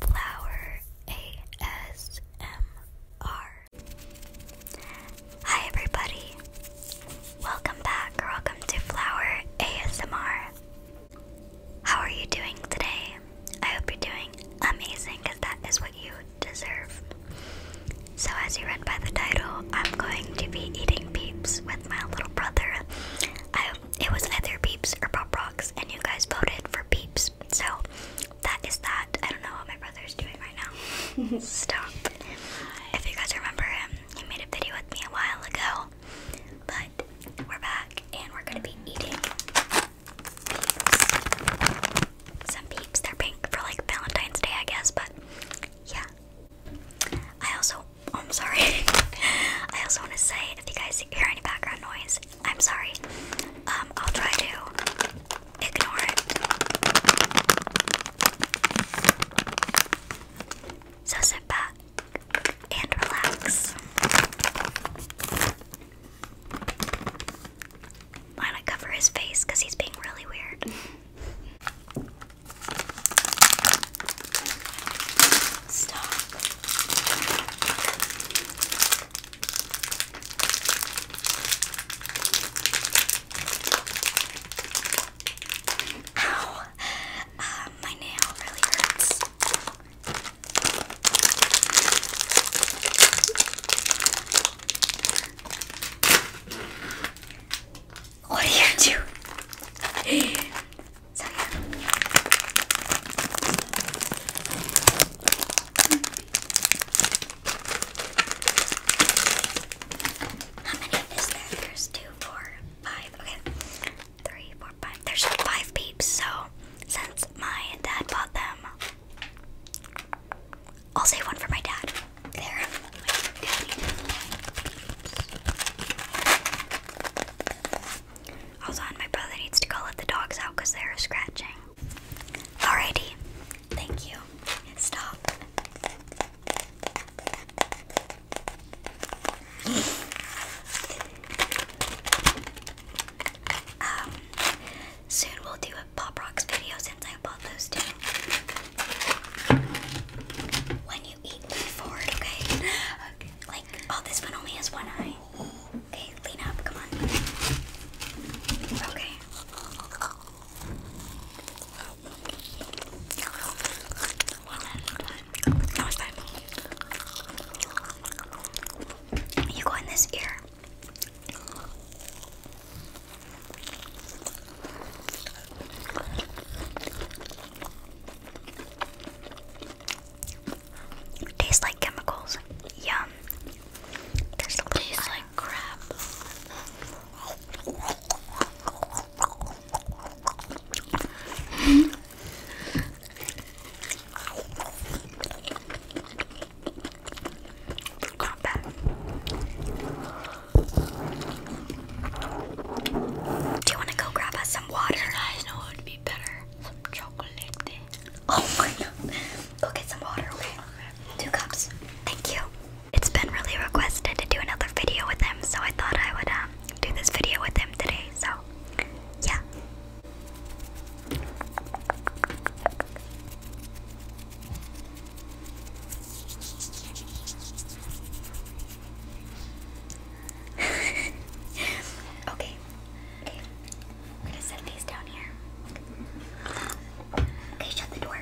Flower ASMR. Hi, everybody. Welcome back, or welcome to Flower ASMR. How are you doing today? I hope you're doing amazing because that is what you deserve. So, as you read by the title, I'm going to be eating peeps with my little brother. I hope it was either beeps or Pop Rocks, and you guys voted for beeps. So that is that. I don't know what my brother is doing right now. Stop. If you guys remember him, he made a video with me a while ago. But we're back, and we're gonna be eating peeps. Some peeps. They're pink for like Valentine's Day, I guess. But yeah. I also. Oh, I'm sorry. I also want to say if you guys hear any background noise, I'm sorry. Um, I'll try to ignore it. So sit back and relax. Why not cover his face because he's being really weird? Stop. Ow! Uh, my nail really hurts. What do you do? So yeah. How many is there? There's two, four, five. Okay, three, four, five. There's five peeps. So since my dad bought them, I'll save one for my dad. There. Also, and my brother needs to go let the dogs out because they are scratching. Alrighty, thank you. Stop. Um, soon we'll do a Pop Rocks video since I bought those two. When you you eat lean forward, okay? okay? Like, oh, this one only has one eye. Okay, lean up, come on. Okay. One at a You go in this ear. Tastes like chemicals. Yum. Tastes iron. like crap. Not bad. Do you want to go grab us some water? be better. Some chocolate. Oh my god. Go get some water, Two cups. Thank you. It's been really requested to do another video with him, so I thought I would um do this video with him today. So, yeah. okay. Okay. We're gonna set these down here. Okay, shut the door.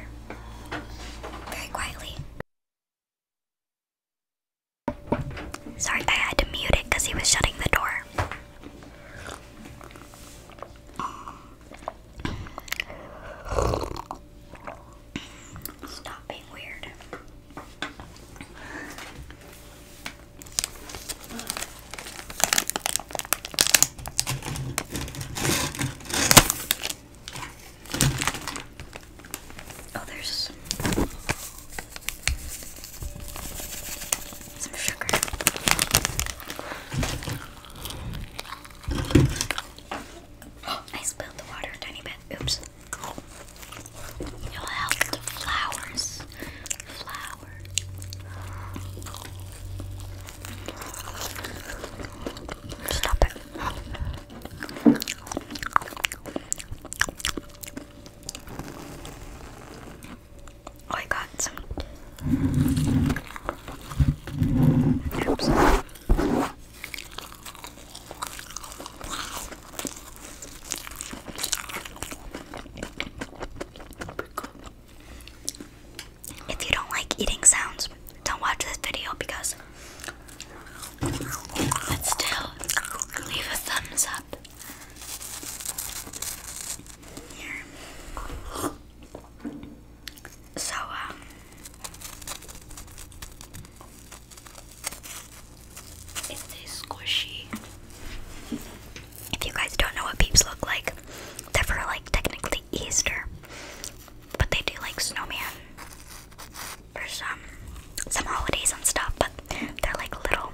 Very quietly. Sorry, I had to mute it because he was shutting the door. Stop being weird. Oh, there's some, sugar. Oh, I spilled the water a tiny bit. Oops. You'll help the flowers. Flower. Stop it. Oh, I got some. Oops. If you don't like eating sounds, don't watch this video because but still leave a thumbs up. So um, it's squishy. If you guys don't know what peeps look like, they're for like technically Easter, but they do like snowman for some some holidays and stuff. But they're like little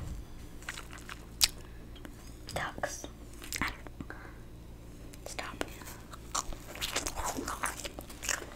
ducks. Stop.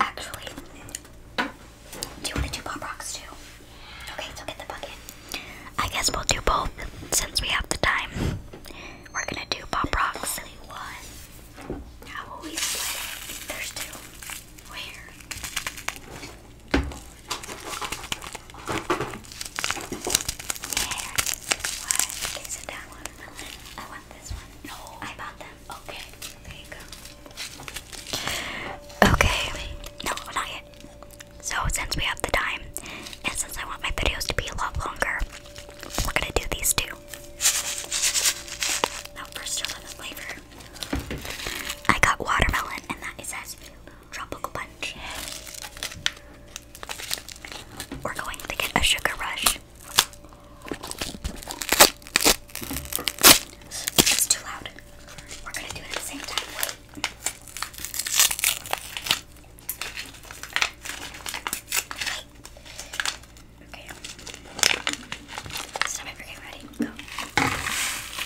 Actually, do you want to do pop rocks too? Okay, so get the bucket. I guess we'll do both since we have the time. We're gonna do pop rocks. one. How will we split it? There's two. Where? Okay. No, not yet. So since we have the time, and since I want my videos to be a lot longer, we're gonna do these two. Now first, show them the flavor. I got watermelon, and that is it tropical punch. We're going to get a sugar rush. It's too loud. We're gonna do it at the same time. Wait. Wait. Okay. Stop it. ready? Go.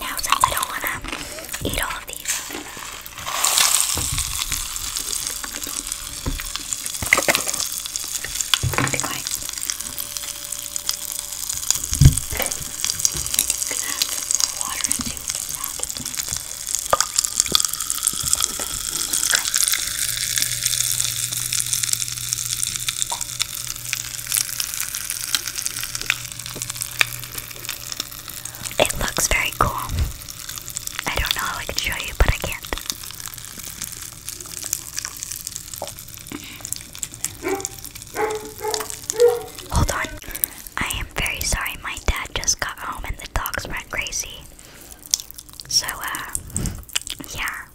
Now, since I don't want to eat all of these, be quiet. Water into that. Okay. It looks very cool. I don't know how I can show you, but I can't. Hold on. I am very sorry. My dad just got home and the dogs went crazy. So, uh, yeah.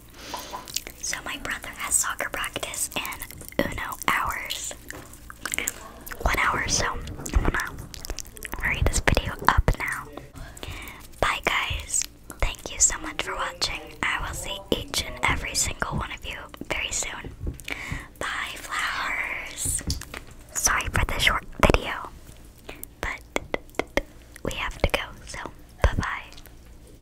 So my brother has soccer practice and Uno hours. One hour, so I'm gonna hurry this video up now. Bye guys. Thank you so much for watching. I will see each and every single one of you very soon. Bye flowers. Sorry for the short video, but we have to go, so bye bye.